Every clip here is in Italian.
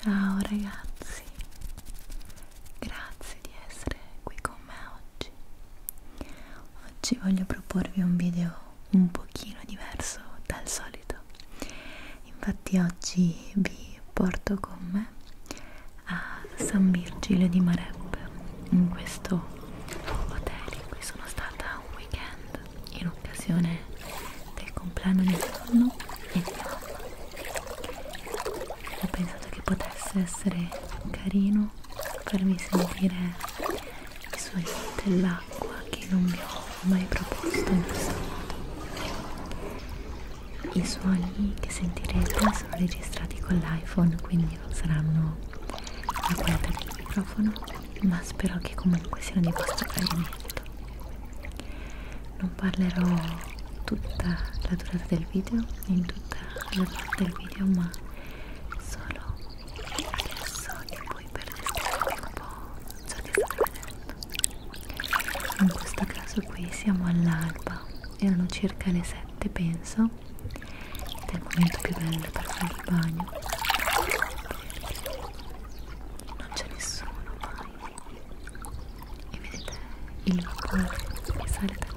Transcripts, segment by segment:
Ciao ragazzi, grazie di essere qui con me oggi. Oggi voglio proporvi un video un pochino diverso dal solito. Infatti oggi vi porto con me a San Virgilio di Mareb in questo hotel in cui sono stata un weekend in occasione del compleanno di mio nonno e di mamma ho pensato che potesse essere carino farvi sentire i suoni dell'acqua che non vi ho mai proposto in questo modo i suoni che sentirete sono registrati con l'iPhone quindi non saranno la qualità del microfono ma spero che comunque siano di vostro gradimento non parlerò tutta la durata del video in tutta la durata del video ma solo adesso e poi per descrivervi un po' ciò che state vedendo in questo caso qui siamo all'alba erano circa le 7 notte penso ed è il momento più bello per fare il bagno non c'è nessuno mai e vedete il vapore che sale da là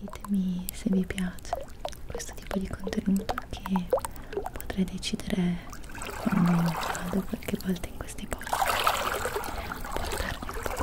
Ditemi se vi piace questo tipo di contenuto che potrei decidere quando vado qualche volta in questi posti portarvi un po'.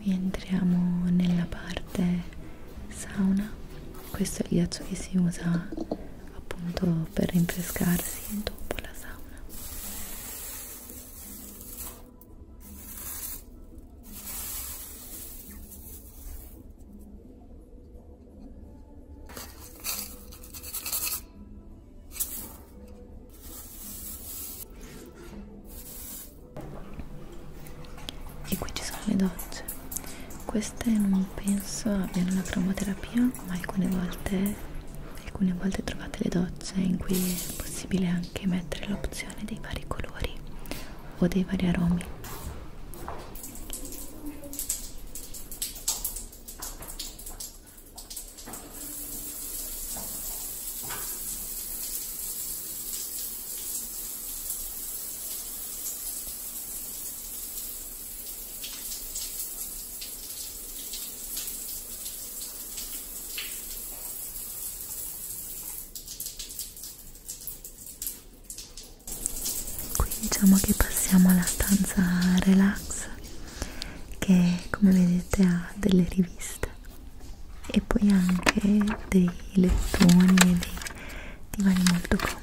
qui entriamo nella parte sauna questo è il ghiaccio che si usa appunto per rinfrescarsi dopo la sauna e qui ci sono le docce queste non penso abbiano la cromoterapia ma alcune volte alcune volte trovate le docce in cui è possibile anche mettere l'opzione dei vari colori o dei vari aromi Qui diciamo che passiamo alla stanza relax che come vedete ha delle riviste e poi anche dei lettoni e dei divani molto comodi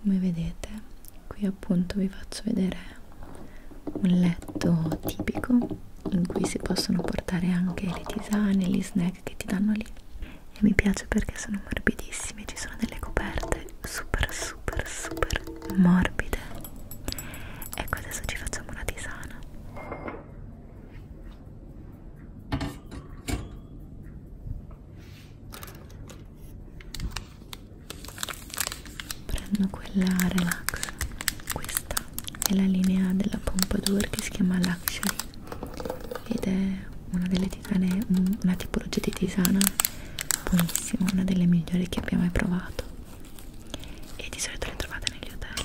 come vedete qui appunto vi faccio vedere un letto tipico in cui si possono portare anche le tisane gli snack che ti danno lì e mi piace perché sono morbidissimi ci sono delle coperte super super super morbide ecco adesso ci facciamo una tisana prendo quella relax questa è la linea della Pompadour che si chiama Luxury ed è una delle tisane una tipologia di tisana buonissima una delle migliori che abbia mai provato e di solito le trovate negli hotel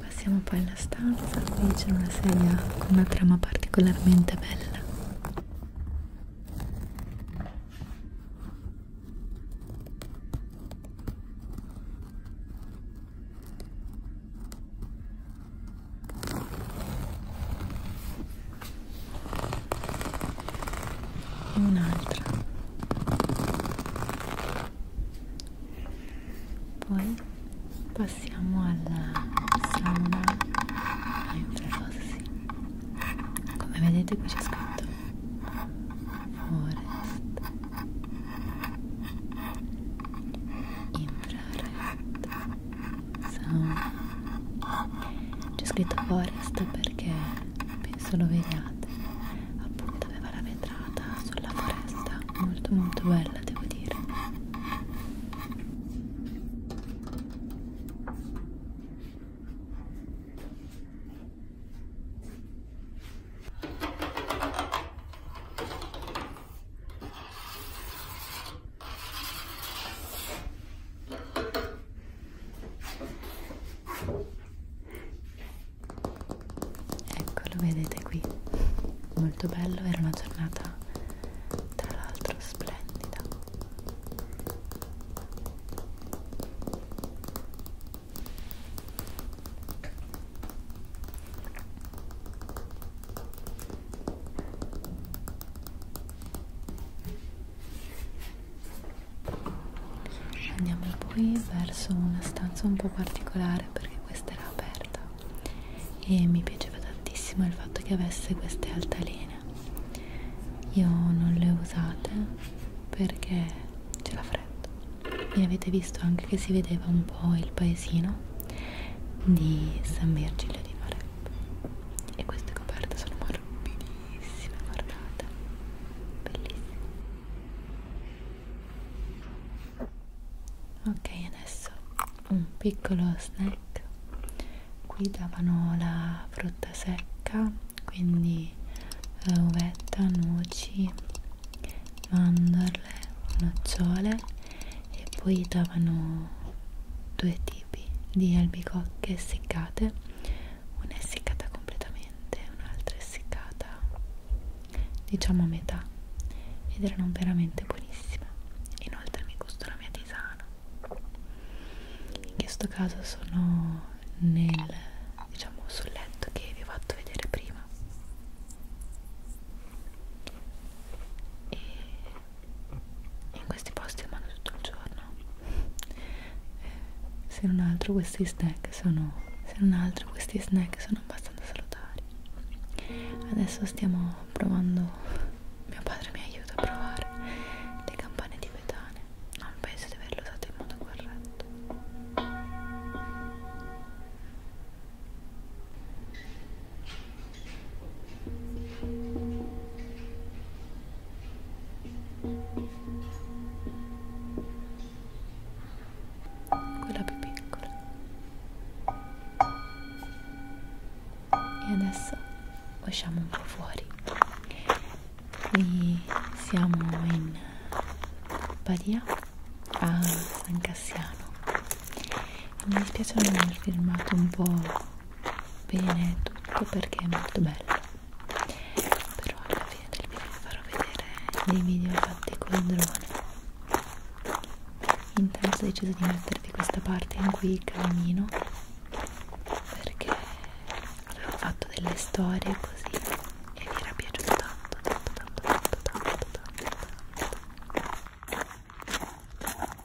Passiamo poi alla stanza, qui c'è una sedia con una trama particolarmente bella e un'altra poi passiamo alla sauna a infrarossi come vedete qui c'è scritto forest infrared sauna c'è scritto forest perché penso lo vediate appunto aveva la vetrata sulla foresta molto molto bella devo dire ecco lo vedete qui molto bello era una giornata tra l'altro splendida Andiamo poi verso una stanza un po' particolare perché questa era aperta e mi piaceva tantissimo il fatto che avesse queste altalene. Io non le usate perché c'è la fredda e avete visto anche che si vedeva un po' il paesino di San Virgilio di Noreppe e queste coperte sono morbide bellissima, guardate bellissima ok adesso un piccolo snack qui davano la frutta secca quindi eh, uvetta, noci mandorle, nocciole e poi davano due tipi tipi di albicocche essiccate una è essiccata completamente un'altra è essiccata diciamo a metà ed erano veramente buonissime inoltre mi gusto la mia tisana in questo caso sono nel diciamo sul letto che vi ho fatto vedere prima e in questi posti mangio tutto il giorno eh, se non altro questi snack sono se non altro questi snack sono abbastanza salutari adesso stiamo provando mio padre mi aiuta a provare le campane tibetane non penso di averle usate in modo corretto quella più piccola e adesso usciamo un po' fuori qui siamo in Badia a San Cassiano mi dispiace non aver filmato un po' bene tutto perché è molto bello però alla fine del video vi farò vedere dei video fatti col drone intanto ho deciso di mettervi questa parte in cui cammino perché avevo fatto delle storie così e vi era piaciuto tanto tanto tanto tanto tanto tanto tanto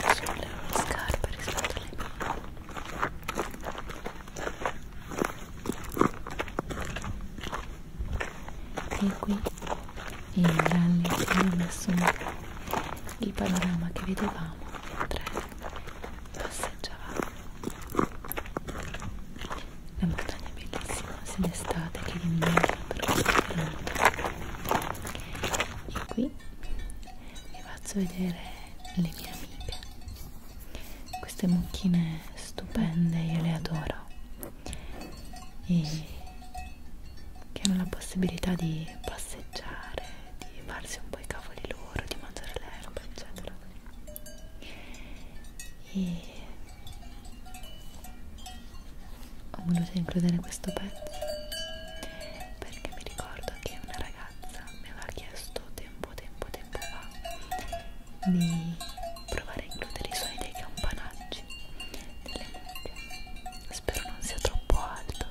sulle scarpe rispetto alle mie e qui in grande ho messo il panorama che vedevamo mentre passeggiavamo la montagna bellissimo sia d'estate che d'inverno per questo e qui vi faccio vedere le mie amiche queste mucchine stupende io le adoro e che hanno la possibilità di passeggiare di farsi un po' i cavoli loro di mangiare l'erba eccetera e ho voluto includere questo pezzo perché mi ricordo che una ragazza mi aveva chiesto tempo tempo tempo fa di provare a includere i suoni dei campanacci nelle mucche spero non sia troppo alto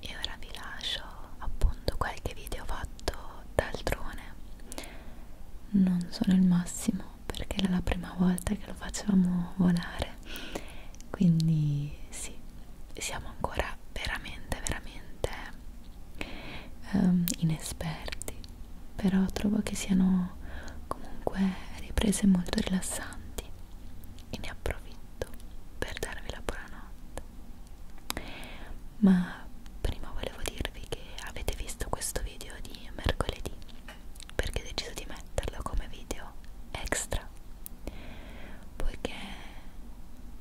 E ora vi lascio appunto qualche video fatto d'altrone. Non sono il massimo perché era la prima volta che lo facevamo volare. Quindi sì, siamo ancora veramente veramente um, inesperti però trovo che siano comunque riprese molto rilassanti e ne approfitto per darvi la buonanotte ma prima volevo dirvi che avete visto questo video di mercoledì perché ho deciso di metterlo come video extra poiché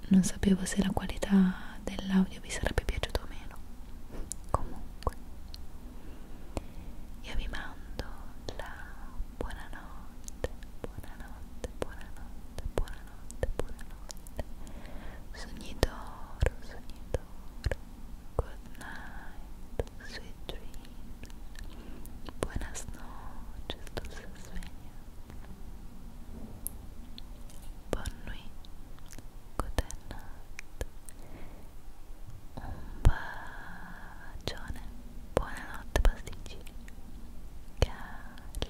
non sapevo se la qualità dell'audio audio vi sarebbe piaciuto meno comunque io vi mando la buonanotte buonanotte buonanotte buonanotte buonanotte sogni d'oro sogni d'oro good night sweet dreams buenas noches dulce sueño bonne nuit Goodnight un bacione buonanotte pasticcini Calispera